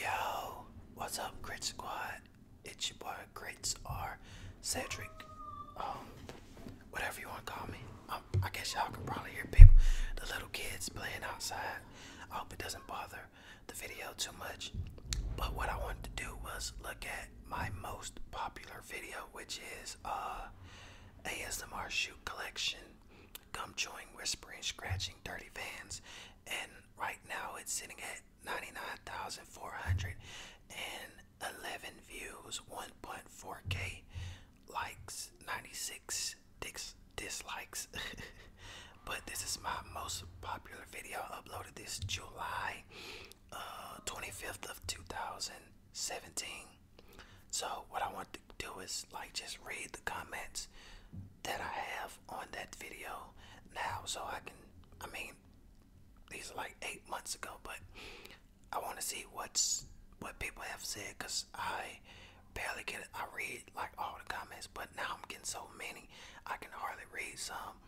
Yo, what's up, Grit Squad? It's your boy Grits R. Cedric. Um, whatever you want to call me. Um, I guess y'all can probably hear people, the little kids playing outside. I hope it doesn't bother the video too much. But what I wanted to do was look at my most popular video, which is uh, ASMR shoot collection gum chewing, whispering, scratching, dirty vans, and right now it's sitting at 99,411 views, 1.4k likes, 96 dis dislikes. but this is my most popular video uploaded this July 25th uh, of 2017. So what I want to do is like just read the comments that I have on that video now, so I can. I mean, these are like eight months ago, but I want to see what's what people have said because I barely get it. I read like all the comments, but now I'm getting so many I can hardly read some,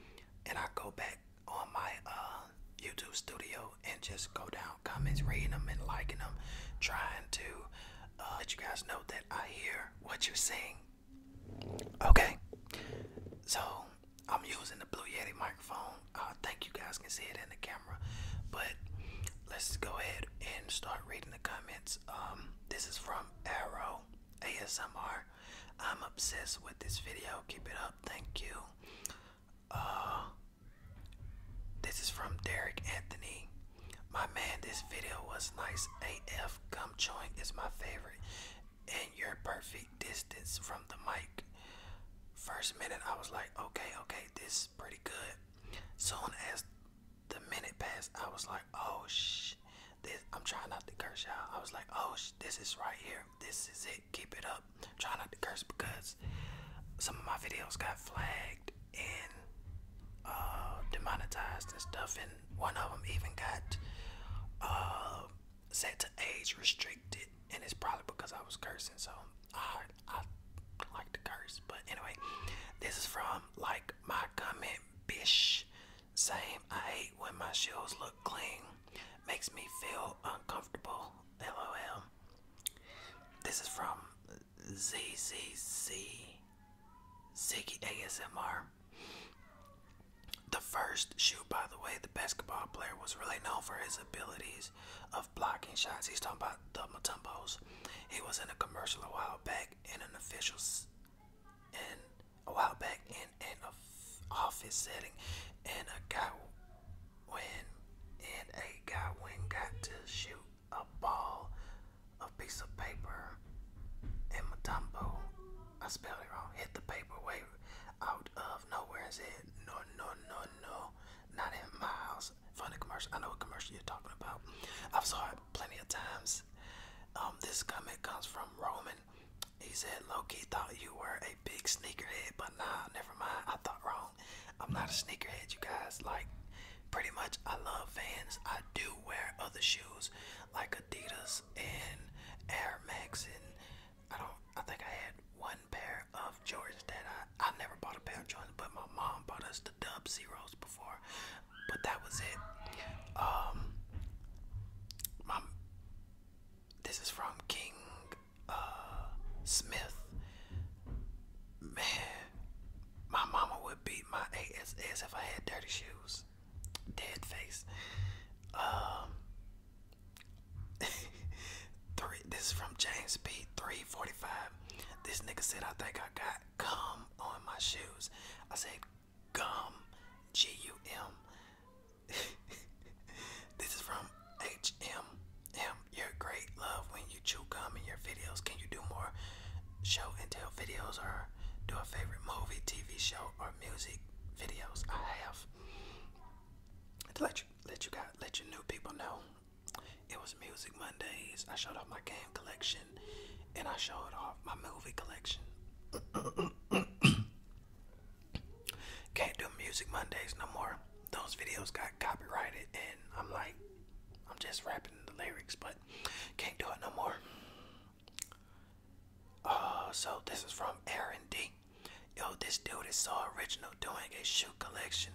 and I go back on my uh, YouTube studio and just go down comments, reading them and liking them, trying to uh, let you guys know that I hear what you're saying. Okay, so I'm using the Blue Yeti microphone. I uh, think you guys can see it in the camera, but let's go ahead and start reading the comments. Um, this is from Arrow ASMR. I'm obsessed with this video. Keep it up. Thank you. Uh, this is from Derek Anthony. My man, this video was nice AF. Gum chewing is my favorite, and your perfect distance from the mic. First minute, I was like, okay, okay, this is pretty good. Soon as the minute passed, I was like, oh shh, this. I'm trying not to curse y'all. I was like, oh this is right here. This is it. Keep it up. Try not to curse because some of my videos got flagged and uh, demonetized and stuff, and one of them even got uh, set to age restricted, and it's probably because I was cursing. So I, I like to curse, but anyway, this is from like my comment, bish. Same, I hate when my shoes look clean. Makes me feel uncomfortable. LOL. This is from ZZZ Ziggy ASMR. The first shoot, by the way, the basketball player was really known for his abilities of blocking shots. He's talking about the Matumbos. He was in a commercial a while back and an official and a while back in an office setting and a guy when and a guy when got to shoot a ball of piece of paper in my I spelled it wrong. Hit the paper way out of nowhere Is it no, no, no, no, not in miles. house. Funny commercial. I know what commercial you're talking about. I've saw it plenty of times. Um, this comment comes from Roman. He said, Loki thought you were a big sneakerhead, but nah, never mind. I thought wrong. I'm not a sneakerhead, you guys. Like, pretty much I love Vans. I do wear other shoes like Adidas and Air Max and I don't I think I had one pair of Jordans that I I never bought a pair of Jordans but my mom bought us the Dub Zeros before but that was it. Um my this is from King uh, Smith. Man my mama would beat my ass if I had dirty shoes. Dead face. Um, three. This is from James P. Three forty-five. This nigga said, "I think I got gum on my shoes." I said, "Gum, G-U-M. this is from H M M. You're great. Love when you chew gum in your videos? Can you do more show and tell videos or do a favorite movie, TV show, or music videos? I have to let you let you guys let your new people know. It was Music Mondays. I showed off my game collection and I showed off my movie collection. Can't do Music Mondays no more. Those videos got copyrighted and I'm like I'm just rapping the lyrics, but can't do it no more. Uh, so this is from Aaron D. Yo, this dude is so original doing a shoe collection,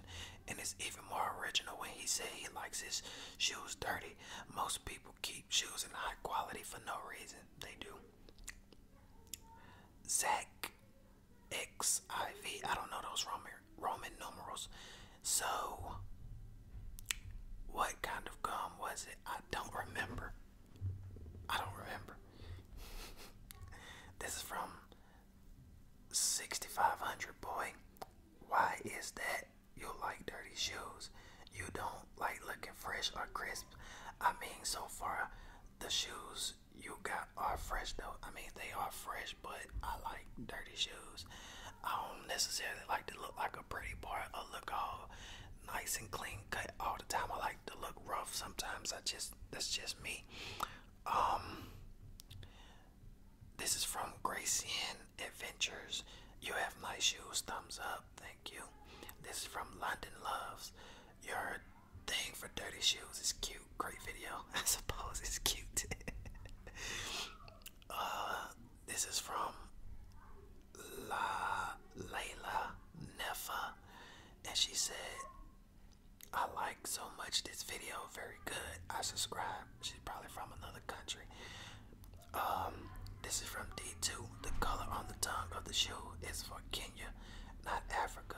and it's even more original when he said he likes his shoes dirty. Most people keep shoes in high quality for no reason. They do. Zach X I V. I don't know those Roman Roman numerals. So, what kind of gum was it? I don't remember. I don't remember. this is from 6500 boy. Why is that? You like dirty shoes. You don't like looking fresh or crisp. I mean, so far, the shoes you got are fresh though. I mean, they are fresh but I like dirty shoes. I don't necessarily like to look like a pretty boy or look all nice and clean cut all the time. I like to look rough sometimes. I just that's just me. Um This is from Gracian Adventures. You have nice shoes, thumbs up, thank you. This is from London Loves. Your thing for dirty shoes is cute. Great video. I suppose it's cute. uh this is from La Layla Nefa, and she said, I like so much this video, very good. I subscribe. She's probably from another country. Um, this is from D2. The color on the tongue of the shoe is for Kenya, not Africa.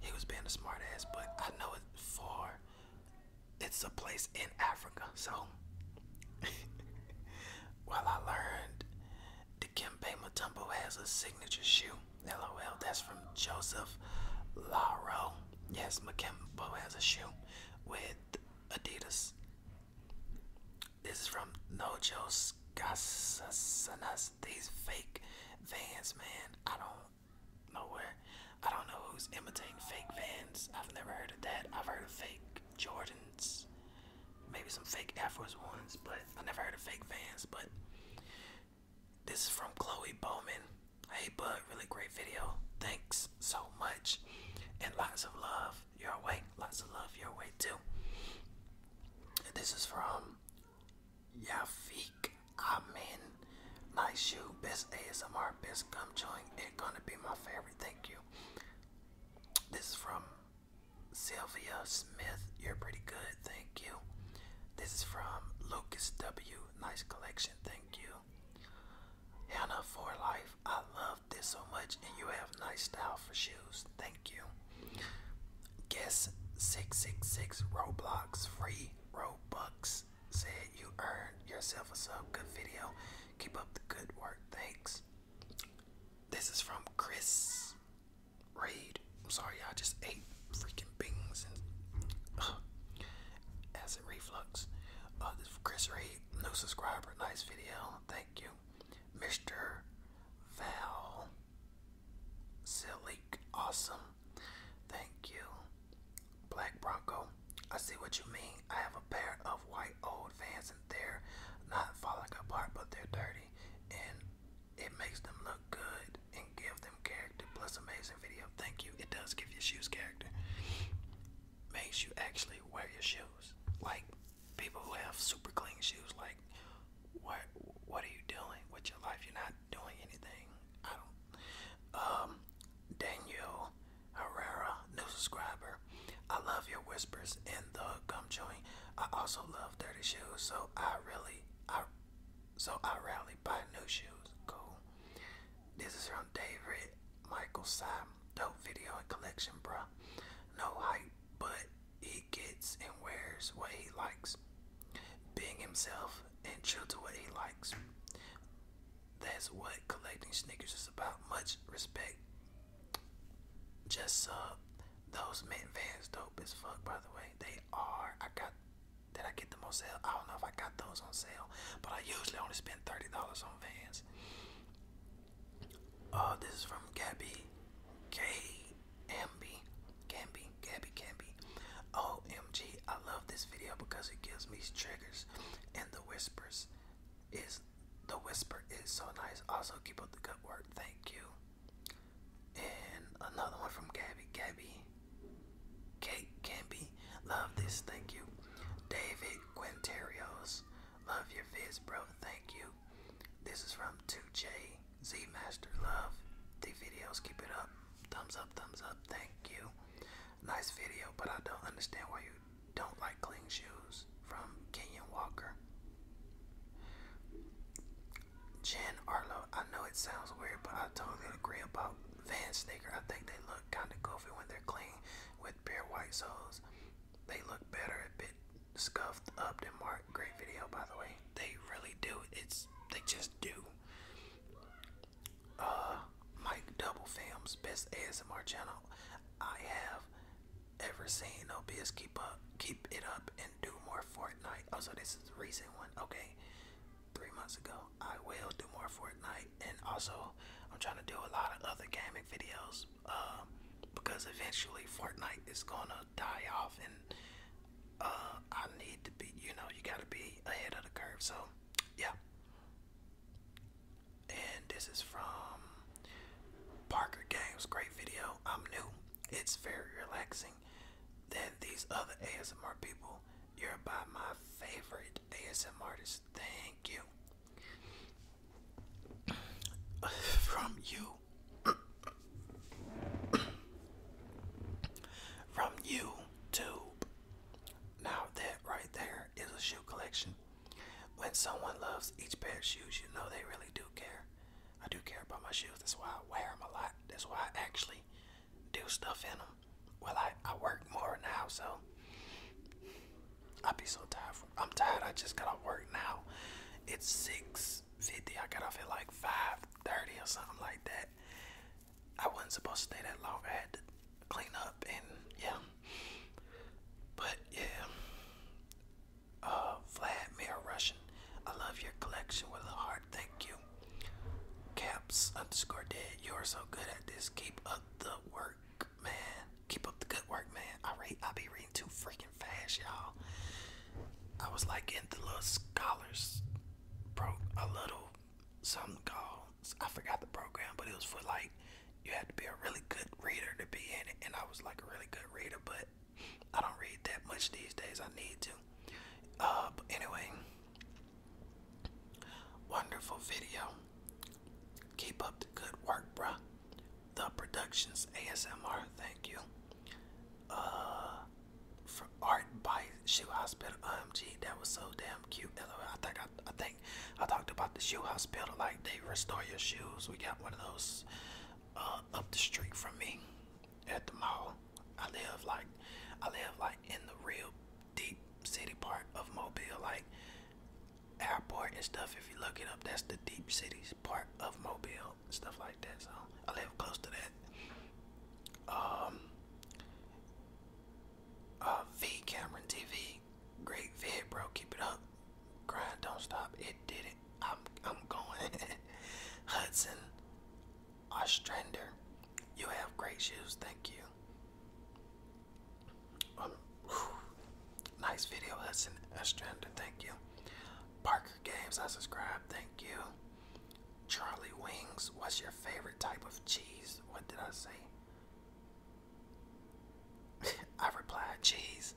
He was being a smart ass, but I know it's for it's a place in Africa. So well I learned the Kimbe Matumbo has a signature shoe. LOL, that's from Joseph Laro. Yes, Makembo has a shoe with Adidas. This is from Nojo's Gasasanas. These fake vans, man. I don't know where I don't know who's imitating fake Vans. I've never heard of that. I've heard of fake Jordans, maybe some fake Air Force Ones, but I never heard of fake Vans. But this is from Chloe Bowman. Hey, bud, really great video. Thanks so much, and lots of love your way. Lots of love your way too. And this is from Yafik Amen. Nice shoe, best ASMR, best gum chewing. It's gonna be my favorite. Thank you. This is from Sylvia Smith. You're pretty good. Thank you. This is from Lucas W. Nice collection. Thank you. Hannah for life. I love this so much, and you have nice style for shoes. Thank you. Guess six six six Roblox free Robux said you earned yourself a sub. Good video. Keep up the good work. Thanks. This is from Chris Reed. I'm sorry, I just ate freaking beans and acid reflux. Uh, this Chris Reed, new subscriber. Nice video. Thank you. Mr. Val Silic. Awesome. Thank you. Black Bronco. I see what you mean. I have a pair of white old vans and they're not falling apart, but they're dirty. And it makes them look good and give them character. Plus, amazing video. Thank you. It does give your shoes character. Makes you actually wear your shoes. Like people who have super clean shoes. Like, what? What are you doing with your life? You're not doing anything. Um, Daniel Herrera, new subscriber. I love your whispers in the gum joint. I also love dirty shoes, so I really, I, so I rarely buy new shoes. Cool. This is from David Michael Simon. Dope video and collection, bruh. No hype, but he gets and wears what he likes. Being himself and chill to what he likes. That's what collecting sneakers is about. Much respect. Just uh, those men vans dope as fuck. By the way, they are. I got. Did I get them on sale? I don't know if I got those on sale, but I usually only spend thirty dollars on vans. Uh, this is from Gabby K. Amby. Gamby. Gabby OMG, I love this video because it gives me triggers and the whispers is the whisper is so nice. Also keep up the good work. Thank you. And another one from Gabby. Gabby. Kate Gamby. Love this. Thank you. David Quinterios. Love your vids, bro. Thank you. This is from 2J. Z Master. Love the videos. Keep it up. Thumbs up. Thumbs up. Thank you. Nice video, but I don't understand why you don't like clean shoes. From Kenyon Walker. Jen Arlo, I know it sounds weird, but I totally agree about Van Sneaker. I think they look kind of goofy when they're clean with bare white soles. They look better a bit scuffed up than marked. Great video, by the way. They really do. It's they just do uh, Mike Double best ASMR channel I have ever seen. No biz, keep up, keep it up, and do more Fortnite. Also, oh, this is a recent one. Okay, three months ago, I will do more Fortnite, and also I'm trying to do a lot of other gaming videos. Um, because eventually Fortnite is gonna die off, and uh, I need to be. You know, you gotta be ahead of the curve. So, yeah and this is from Parker Games. Great video. I'm new. It's very relaxing than these other ASMR people. You're by my favorite ASMR artist. Thank you. From you. From YouTube. Now that right there wear is a shoe collection. When someone loves each pair of shoes, you know they really do care. I do care about my shoes. That's why I wear them a lot. That's why I actually do stuff in them. Well, I, I work more now, so I would be so tired. I'm tired. I just got to work now. It's 6.50. I got off at like 5.30 or something like that. I wasn't supposed to stay that long. I had to clean up and yeah. But yeah. Uh, Vlad Mirror Russian. I love your collection with a heart, thank you. Caps underscore dead. You are so good at this. Keep up the work, man. Keep up the good work, man. I read I be reading too freaking fast, y'all. I was like into little scholars, bro, a little something called I forgot the program, but it was for like you had to be a really good reader to be in it, and I was like a really good reader, but I don't read that much these days. I need to. Uh, anyway, wonderful video. Keep up the good work, bruh. The Productions ASMR, thank you. Uh, for Art by Shoe Hospital OMG, that was so damn cute. LOL. I think I think I talked about the shoe house builder, like they restore your shoes. We got one of those uh, up the street from me at the mall. I live like I live like in the real deep city part of Mobile, like airport and stuff. If you look it up, that's the deep cities part of Mobile stuff like that. So I live close to that. Um, uh, V Cameron TV, great vid, bro. Keep it up. Grind, don't stop. It did it. I'm I'm going. Hudson, Ostrander, you have great shoes. Thank you. Um, nice video, Hudson Ostrander. Thank you. Parker Games, I subscribe. Thank you. Charlie Wings, what's your favorite type of cheese? What did I say? I replied, "Jeez."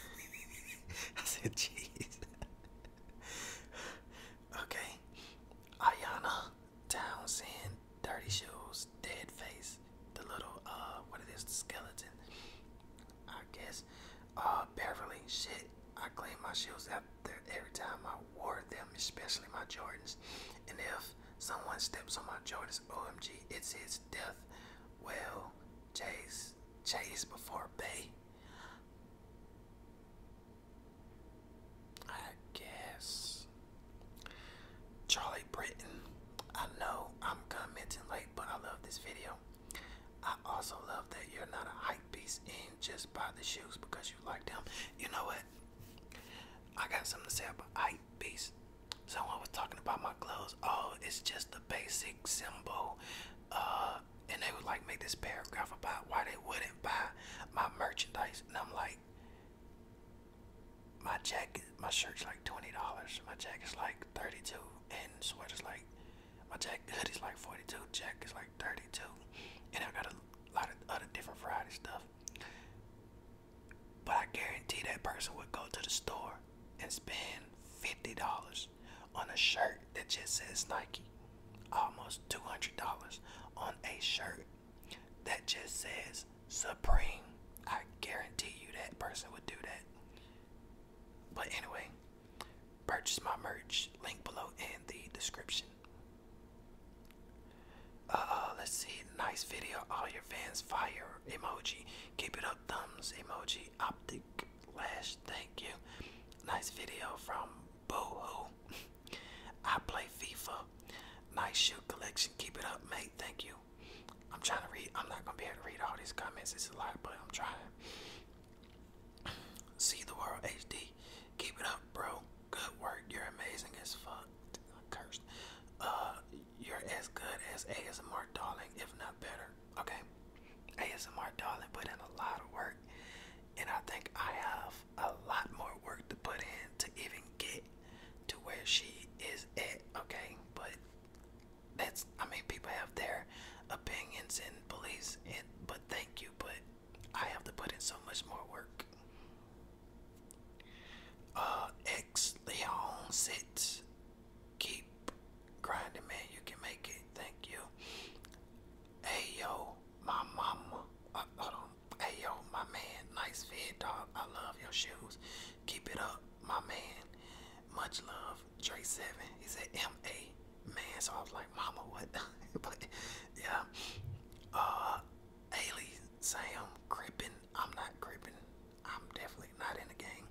I said, "Jeez." okay, Ayana Townsend, Dirty Shoes, Dead Face, the little uh, what it is, the skeleton. I guess, uh, Beverly. Shit, I clean my shoes after every time I wore them, especially my Jordans. And if someone steps on my Jordans, OMG, it's his death. Well, chase, chase before bay. I guess. Charlie Britton, I know I'm commenting late, but I love this video. I also love that you're not a hype beast and just buy the shoes because you like them. You know what? I got something to say about hype beast. Someone was talking about my clothes. Oh, it's just a basic symbol. Uh, and they would like make this paragraph about why they wouldn't buy my merchandise. And I'm like, my jacket, my shirt's like twenty dollars. My jacket's like thirty-two, and sweater's like, my jacket hoodie's like forty-two. Jacket's like thirty-two, and I got a lot of other different variety stuff. But I guarantee that person would go to the store and spend $50 on a shirt that just says Nike. Almost $200 on a shirt that just says Supreme. I guarantee you that person would do that. But anyway, purchase my merch, link below in the description. Uh, let's see. Nice video. All your fans fire emoji. Keep it up. Thumbs emoji. Optic lash. Thank you. Nice video from Boohoo. I play FIFA. Nice shoe collection. Keep it up, mate. Thank you. I'm trying to read. I'm not gonna be able to read all these comments. It's a lot, but I'm trying. See the world HD. Keep it up, bro. Good work. You're amazing as fuck. Cursed. Uh, you're as good as ASMR darling, if not better. Okay. ASMR darling put in a lot of work, and I think I have a lot more work to put in to even get to where she is at. Okay, but that's I mean people have their opinions and beliefs, and but thank you, but I have to put in so much more work. Uh, X Leon sits. Keep grinding, man. You can make it. Thank you. Hey yo, my mama. Hey uh, yo, my man. Nice fit, dog. I love your shoes. Keep it up, my man. Much love, Dre Seven. He said M A man. So I was like, mama, what? but yeah. Uh, Ailey Sam Crippen. I'm not creeping. I'm definitely not in the game.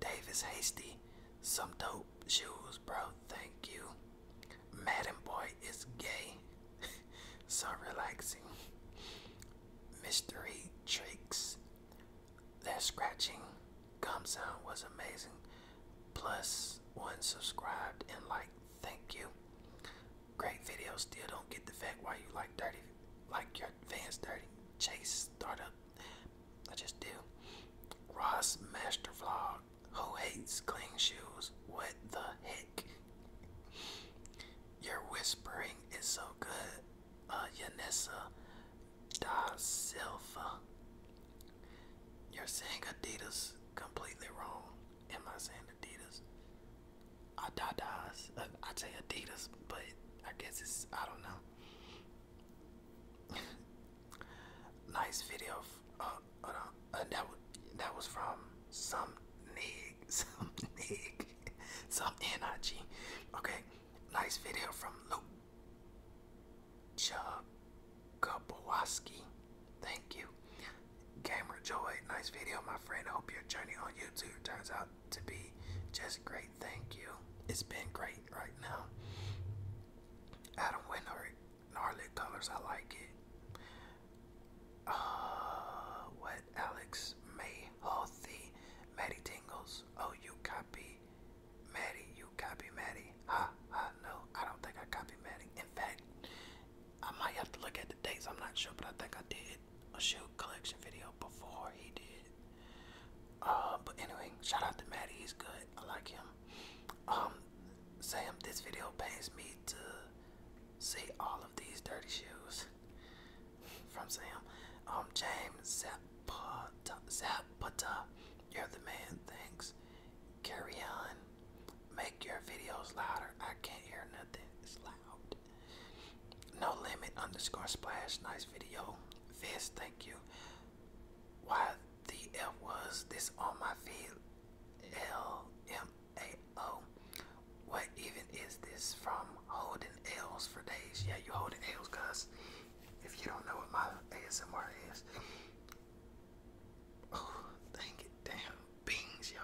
Davis Hasty. Some dope shoes, bro. Thank you. Madden Boy is gay. so relaxing. Mystery tricks. That scratching gum sound was amazing. Plus one subscribed and like. Thank you. Great video still don't get the fact why you like dirty, like your fans dirty. Chase startup, I just do. Ross master vlog. Who hates clean shoes? What the heck? Your whispering is so good. Uh, Yanessa da Silva. You're saying Adidas completely wrong. Am I saying Adidas? Adidas. I'd say Adidas, but I guess it's, I don't know. nice video. Uh, uh, uh, that, was from some nig, some nig, some NIG. Okay, nice video from Luke Chakabowski. Thank you. Gamer Joy, nice video, my friend. Hope your journey on YouTube turns out to be just great. Thank you. It's been great right now. Adam Winter, gnarly colors, I like it. Uh, what Alex May, oh, healthy, Maddie Tingles. Oh, you copy Maddie, you copy Maddie. Ha, ha, no, I don't think I copy Maddie. In fact, I might have to look at the dates. I'm not sure, but I think I did a shoe collection video before he did. Uh, but anyway, shout out to Maddie. He's good. I like him. Um, Sam, this video pains me to see all of these dirty shoes from Sam. Um, James Zapata, Zapata, you're the man. Thanks. Carry on. Make your videos louder. I can't hear nothing. It's loud. No limit underscore splash. Nice video. Viz, thank you. Why was this on my feed? L M A O. What even is this from holding L's for days? Yeah, you holding L's, cuz. If you don't know what my ASMR is, Oh, dang it, damn. Beans, yo.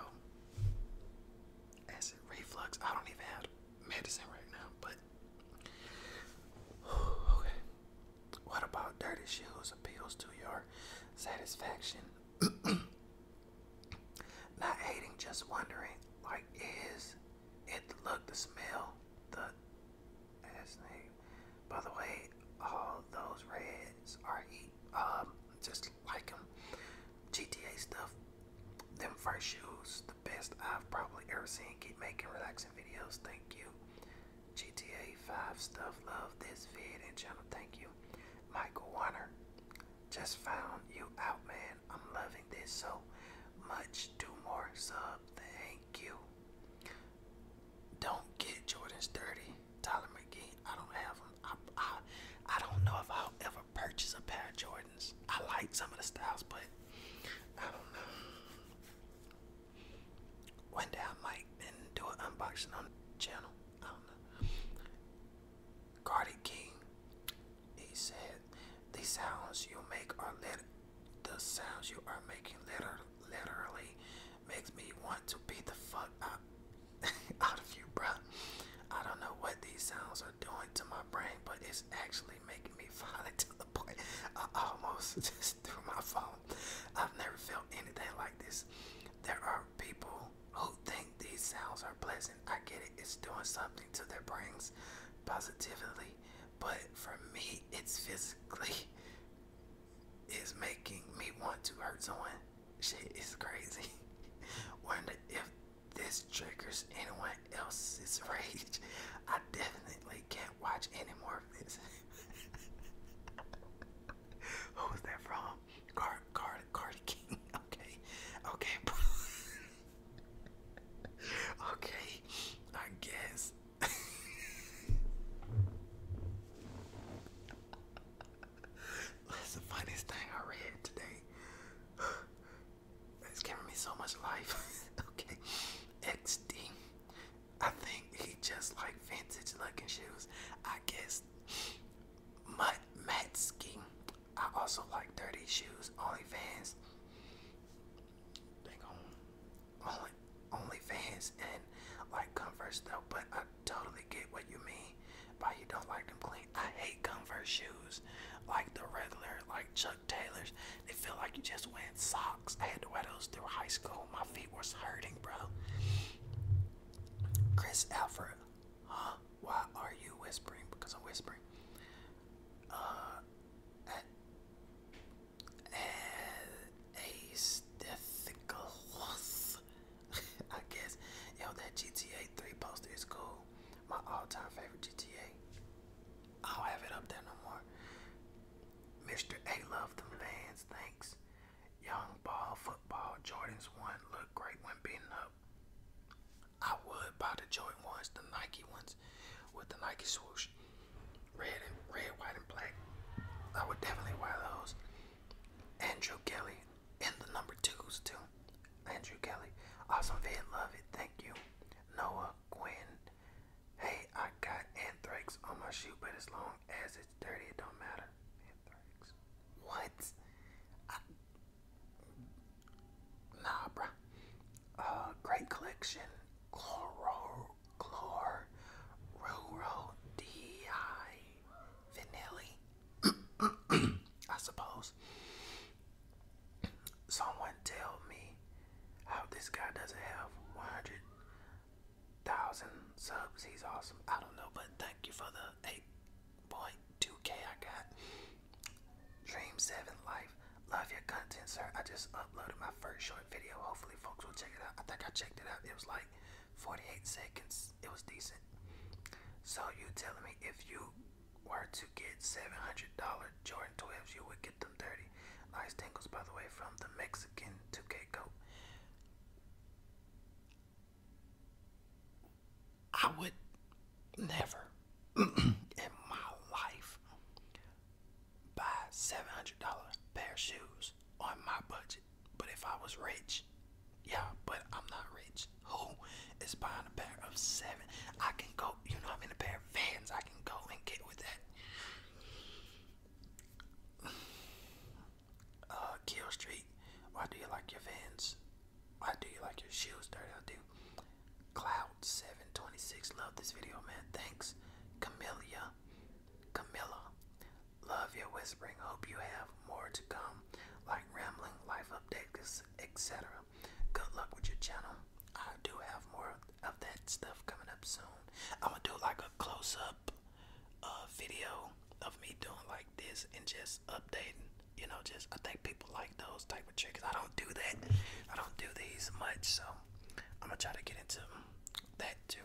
Acid reflux. I don't even have medicine right now, but. Okay. What about dirty shoes appeals to your satisfaction? Not hating, just wondering. Like, is it the look, the smell, the ass name? By the way, all those reds are um, just like them. GTA stuff, them first shoes, the best I've probably ever seen. Keep making relaxing videos. Thank you. GTA 5 stuff, love this vid and channel. Thank you. Michael Warner, just found you out, man. I'm loving this so much. Do more sub. Thank you. Don't get Jordan's dirty. Tyler McGee, I don't have them. I, I, don't know if I'll ever purchase a pair of Jordans. I like some of the styles, but I don't know. One day I might and do an unboxing on the channel. I don't know. Cardi King, he said, the sounds you make are lit. The sounds you are making literally makes me want to beat the fuck out, of you, bruh. I don't know what these sounds are doing to my brain, but it's actually making me violent to the point I almost just threw my phone. I've never felt anything like this. There are people who think these sounds are pleasant. I get it, it's doing something to their brains positively, but for me, it's physically is making me want to hurt someone. Shit is crazy. Wonder if this triggers anyone else's rage. I definitely can't watch any more of this. Who was that from? Card, Card, Cardi King. Okay, okay, okay. I guess. That's the funniest thing I read today. It's giving me so much life. okay. XD. I think he just like vintage looking shoes. I guess Mutt Matsky. I also like dirty shoes. OnlyFans. Dang on. Only OnlyFans and like Converse though, but totally get what you mean by you don't like them clean. I hate Converse shoes, like the regular, like Chuck Taylors. They feel like you just went socks. I had to wear those through high school. My feet was hurting, bro. Chris Alfred, huh? Why are you whispering? Because I'm whispering. Uh, at, at, I guess. Yo, that GTA 3 poster is cool. My all-time favorite GTA. I don't have it up there no more. Mr. A love them fans, thanks. Young ball football Jordans one look great when beaten up. I would buy the Jordan ones, the Nike ones, with the Nike swoosh, red and red, white and black. I would definitely wear those. Andrew Kelly, and the number twos too. Andrew Kelly, awesome vid, love it, thank you. Noah Quinn, hey, I got anthrax on my shoe, but as long as it's dirty, it don't matter. Anthrax. What? Nah, bruh. Uh, great collection. Chloro, chlor, rural, di, vanilla, I suppose. Someone tell me how this guy does have 100,000 subs. He's awesome. I don't know, but thank you for the 8.2K I got. Dream 7 Life. Love your content, sir. I just uploaded my first short video. Hopefully, folks will check it out. I think I checked it out. It was like 48 seconds. It was decent. So you telling me if you were to get $700 Jordan 12s, you would get them 30. Nice tingles, by the way, from the Mexican 2K coat. I would never in my life buy $700 pair of shoes on my budget. But if I was rich, yeah, but I'm not rich. Who is buying a pair of seven? I can go, you know, I'm in a pair of vans. I can go and get with that. Uh, Kill Street, why do you like your vans? Why do you like your shoes dirty? I do. Cloud726, love this video, man. Thanks. Camellia, Camilla, Love your whispering. Hope you have more to come, like rambling, life updates, etc. Good luck with your channel. I do have more of that stuff coming up soon. I'm gonna do like a close up uh, video of me doing like this and just updating. You know, just I think people like those type of tricks. I don't do that. I don't do these much, so I'm gonna try to get into that too.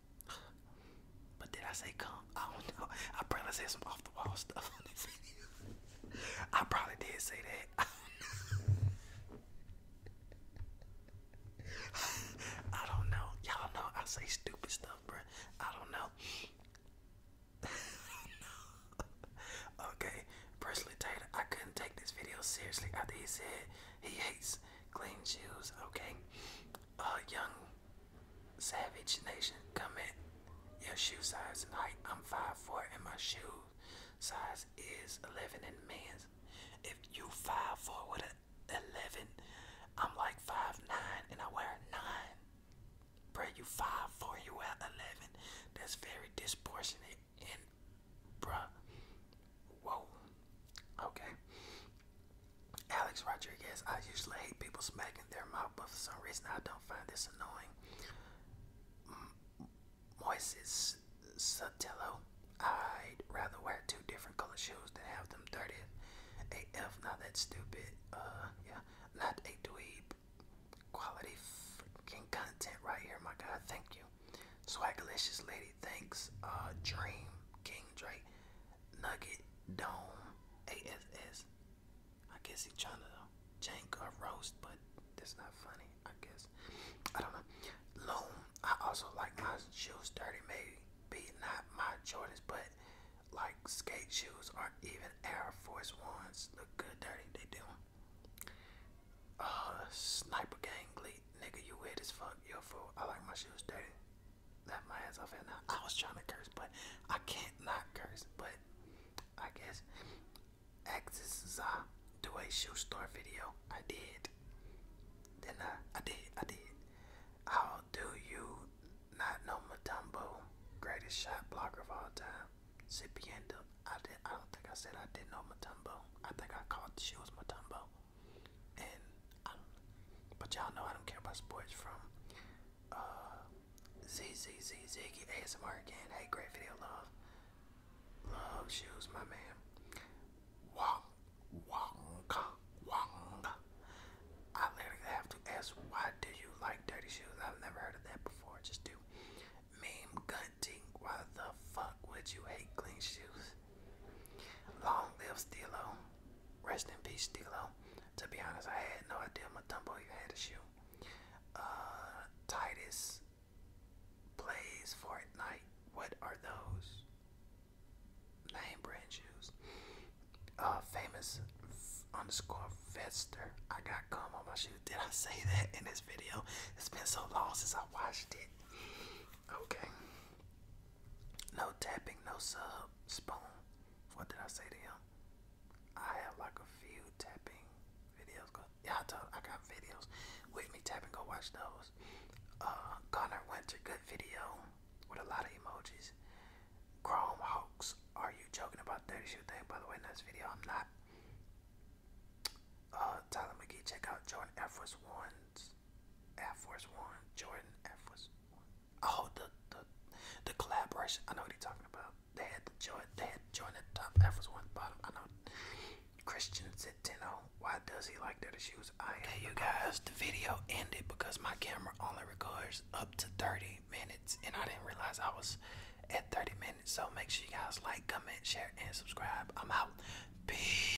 But did I say come? I don't know. I probably said some off the wall stuff on this video. I probably did say that. I don't know. Y'all know I say stupid stuff, bro. I don't know. okay, personally, Taylor, I couldn't take this video seriously after he said he hates clean shoes, okay? Uh, young Savage Nation, come in. your shoe size and height. I'm five four, and my shoe size is 11 in men's. If you five four with an 11, I'm like five nine, and I wear 9. Bro, you five four, you wear 11. That's very disproportionate and, bruh, whoa. Okay. Alex Rodriguez, I usually hate people smacking their mouth, but for some reason I don't find this annoying. Moises Sotillo, I'd rather wear two different color shoes than have them dirty. AF, not that stupid. Uh, yeah, not a dweeb. Quality freaking content right here, my God. Thank you. Swagalicious Lady Thanks, uh, Dream, King Drake, Nugget, Dome, ASS. I guess he trying to jank a roast, but that's not funny, I guess. I don't know. Loom, I also like my shoes dirty, maybe not my Jordans, but like skate shoes or even Air Force Ones look good dirty, they do. Uh, Sniper Gang, nigga. You weird as fuck. Yo, fool. I like my shoes dirty. That my ass off at now. I was trying to curse, but I can't not curse. But I guess X is uh, do a shoe store video. I did. Then I, uh, I did. I did. How do you not know Matumbo, greatest shot blocker of all time? Cipiendo. I did. I don't think I said I didn't know Matumbo. I think I called the shoes Matumbo and I don't, but y'all know I don't care about sports from uh ZZZ Ziggy ASMR again. Hey, great video, love. Love shoes, my man. Wong Wonka Wonka. I literally have to ask why do you like dirty shoes? I've never heard of that before. Just do meme gunting. Why the fuck would you hate clean shoes? Long live Stilo. Rest in peace, Stilo. To be honest, I had no idea Matumbo even had a shoe. Uh, Titus plays Fortnite. What are those? Name brand shoes. Uh, famous underscore Vester. I got cum on my shoe. Did I say that in this video? It's been so long since I watched it. Okay. No tapping, no sub, spoon. What did I say to him? I have like a few tapping videos. Go, yeah, I, got videos with me. tapping. go watch those. Uh, Connor Winter, good video with a lot of emojis. Chrome Hawks, are you joking about 30 shoot thing? By the way, in this video, I'm not. Uh, Tyler McGee, check out Jordan F. One's Air Force One, Jordan Air Force One. Oh, the the the collaboration. I know what he's talking about. They had the Jordan, they had Jordan the top, Air Force One bottom. I know. Christian said Tino, why does he like dirty shoes? I okay, you guys, the video ended because my camera only records up to 30 minutes, and I didn't realize I was at 30 minutes. So make sure you guys like, comment, share, and subscribe. I'm out. Peace.